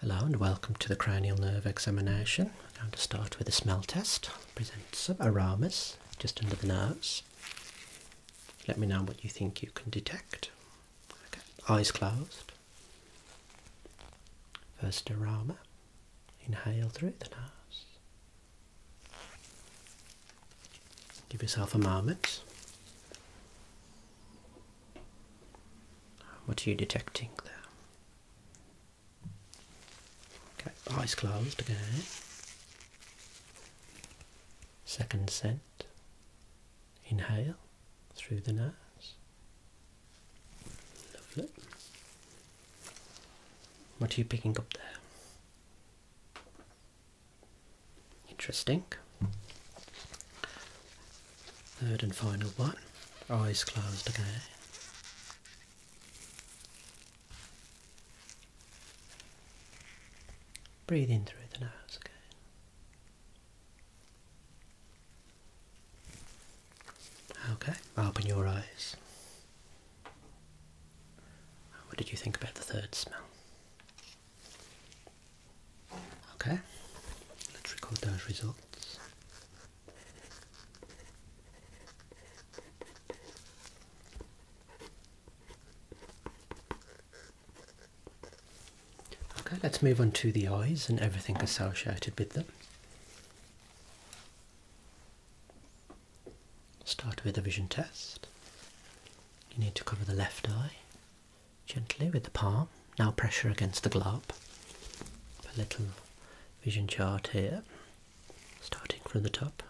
Hello and welcome to the cranial nerve examination. I'm going to start with a smell test. present some aromas just under the nose. Let me know what you think you can detect. Okay. Eyes closed. First aroma. Inhale through the nose. Give yourself a moment. What are you detecting there? Okay, eyes closed again. Second scent. Inhale through the nose. Lovely. What are you picking up there? Interesting. Third and final one. Eyes closed again. Breathe in through the nose again. Okay, open your eyes. What did you think about the third smell? Okay, let's record those results. Okay, let's move on to the eyes and everything associated with them. Start with the vision test. You need to cover the left eye gently with the palm. Now pressure against the globe. A little vision chart here, starting from the top,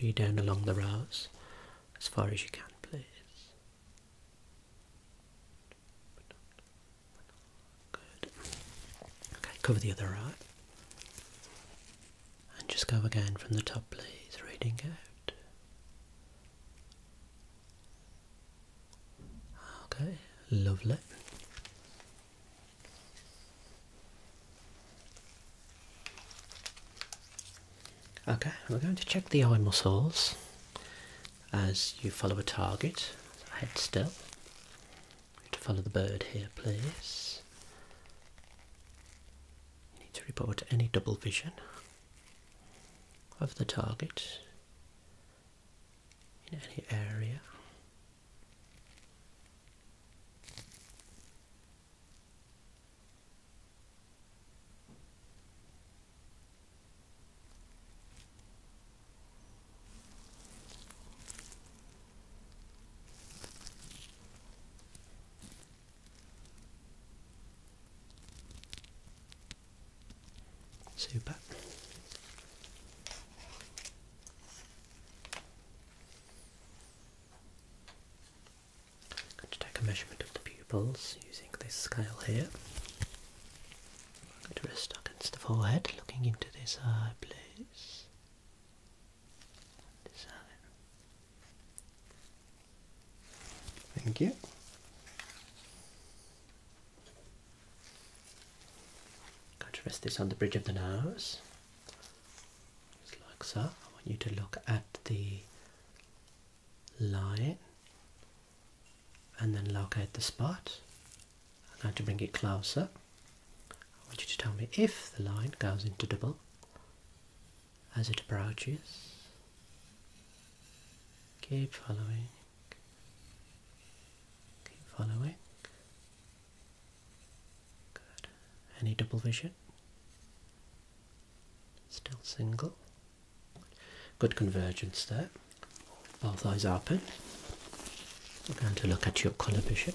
read down along the rows as far as you can, please. Good. Okay, cover the other eye. And just go again from the top, please, reading out. Okay, lovely. Okay, we're going to check the eye muscles as you follow a target. Head still. To follow the bird here, please. You need to report any double vision of the target in any area. So back. going to take a measurement of the pupils using this scale here. I'm going to rest against the forehead, looking into this eye, please. This Thank you. Going to rest this on the bridge of the nose, just like so. I want you to look at the line and then locate the spot. I'm going to bring it closer. I want you to tell me if the line goes into double as it approaches. Keep following. Keep following. Good. Any double vision? Still single. Good convergence there. Both eyes open. We're going to look at your colour vision.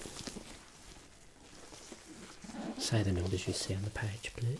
Say the numbers you see on the page, please.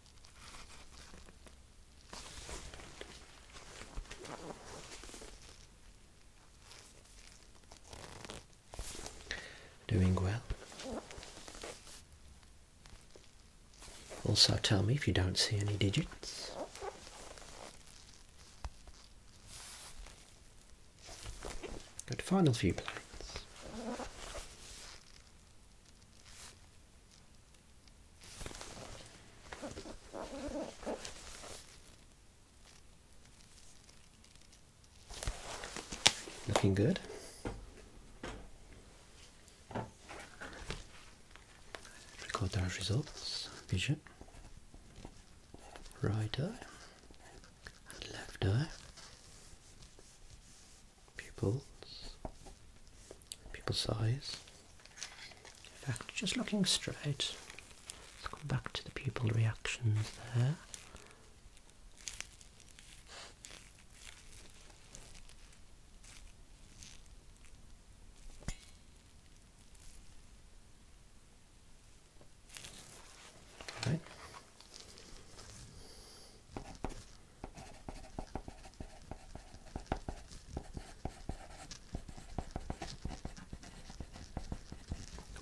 Doing well. Also, tell me if you don't see any digits. Good final few plates. Looking good. Record our results. Vision. Right eye. Left eye pupils, pupil size. In fact, just looking straight, let's come back to the pupil reactions there. Right.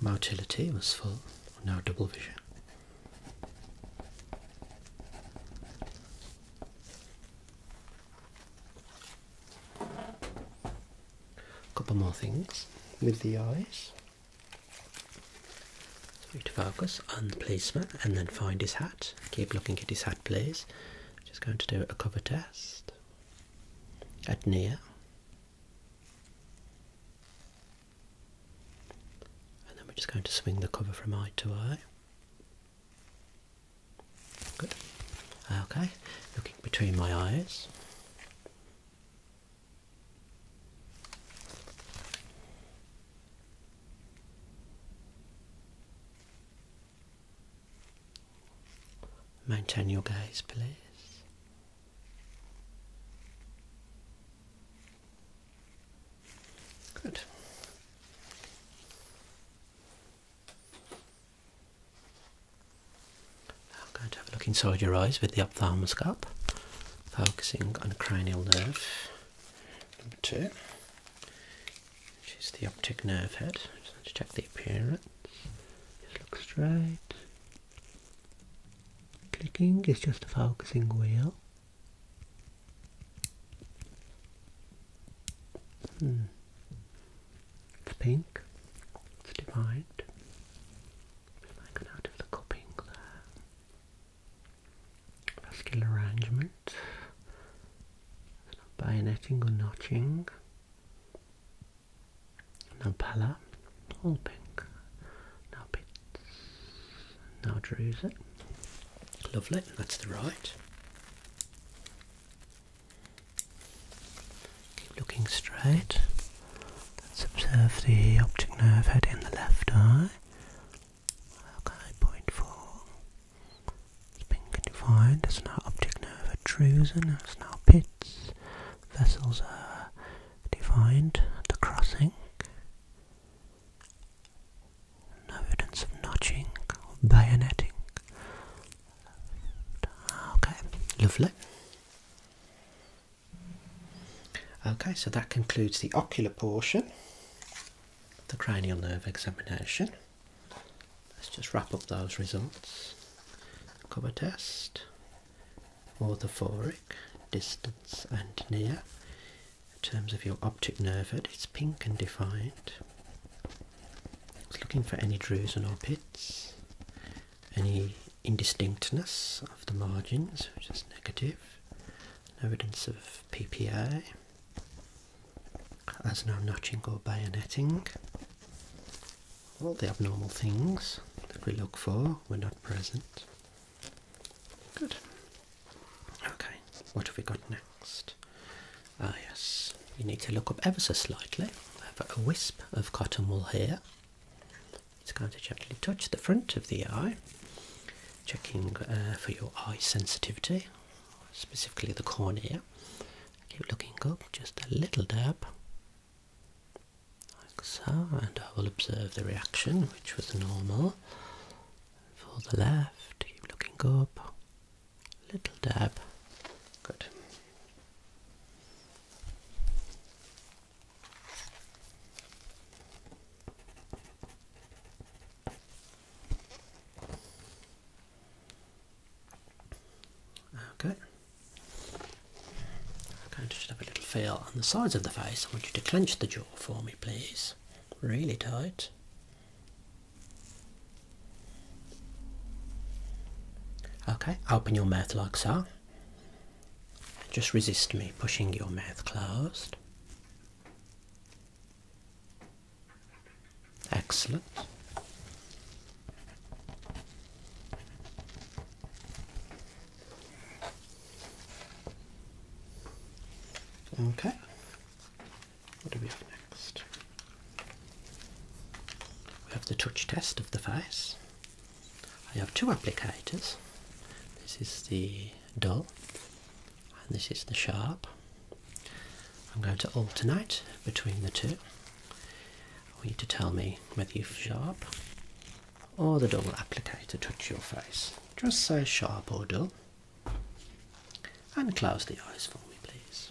Motility was full, now double vision. A couple more things with the eyes. You to focus on the policeman and then find his hat. Keep looking at his hat, please. just going to do a cover test at near. And then we're just going to swing the cover from eye to eye. Good. Okay, looking between my eyes. Maintain your gaze, please. Good. I'm going to have a look inside your eyes with the ophthalmoscope, focusing on the cranial nerve. Number two, which is the optic nerve head. So check the appearance. Just look straight. Clicking is just a focusing wheel. Hmm. It's pink. It's divided. If I can out of the cupping there vascular arrangement, no bayoneting or notching, no pallor, all pink, no pits, no drusen. Lovely, that's the right. Keep looking straight. Let's observe the optic nerve head in the left eye. Okay, point four. It's been defined optic nerve protrusion, there's no pits. Vessels are defined at the crossing. No evidence of notching or bayoneting. Okay, lovely. Okay, so that concludes the ocular portion the cranial nerve examination. Let's just wrap up those results. Cover test, orthophoric, distance and near. In terms of your optic nerve, it's pink and defined. looking for any drusen or pits, any indistinctness of the margins, which is negative evidence of PPA, there's no notching or bayonetting. All the abnormal things that we look for were not present. Good. Okay, what have we got next? Ah, yes, you need to look up ever so slightly. I have a wisp of cotton wool here. It's going to gently touch the front of the eye, checking uh, for your eye sensitivity, specifically the cornea. Keep looking up, just a little dab, like so, and I will observe the reaction, which was normal. For the left, keep looking up, little dab. Good. Okay. I'm going to just have a little feel on the sides of the face. I want you to clench the jaw for me, please. Really tight. Okay, open your mouth like so. Just resist me pushing your mouth closed. Excellent. Okay. What do we have next? We have the touch test of the face. I have two applicators. This is the dull and this is the sharp. I'm going to alternate between the two. I need to tell me whether you've sharp or the dull applicator touch your face. Just say sharp or dull and close the eyes for me please.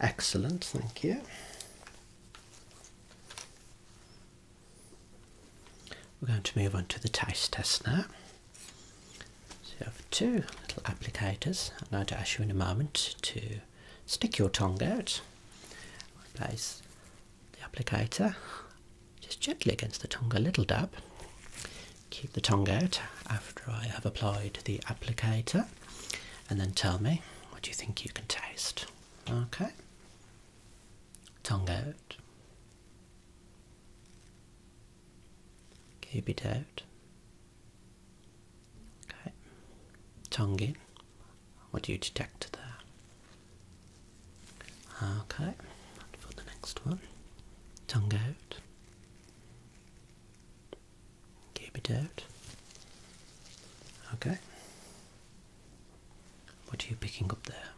Excellent, thank you. We're going to move on to the taste test now. So you have two little applicators. I'm going to ask you in a moment to stick your tongue out. I place the applicator just gently against the tongue, a little dab. Keep the tongue out after I have applied the applicator, and then tell me what you think you can taste. Okay, tongue out. Keep it out. Okay. Tongue What do you detect there? Okay. for the next one. Tongue out. Keep out. Okay. What are you picking up there?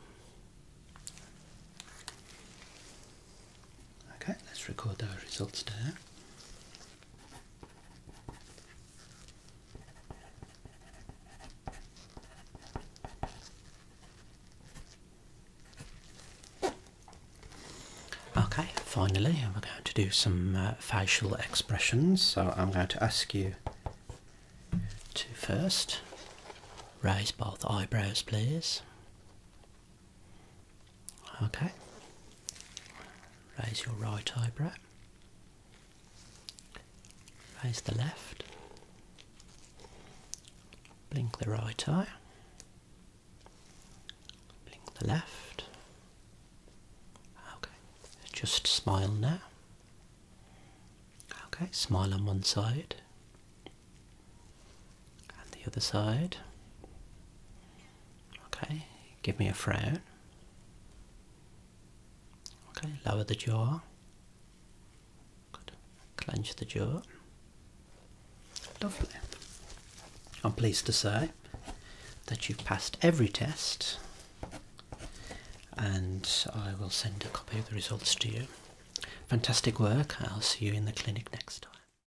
Okay, let's record those results there. Okay, finally, we're going to do some uh, facial expressions. So I'm going to ask you to first raise both eyebrows, please. Okay. Raise your right eyebrow. Raise the left. Blink the right eye. Blink the left. Okay. Just smile now. Okay, smile on one side. And the other side. Okay, give me a frown. Okay, lower the jaw. Good. Clench the jaw. Lovely. I'm pleased to say that you've passed every test and I will send a copy of the results to you. Fantastic work. I'll see you in the clinic next time.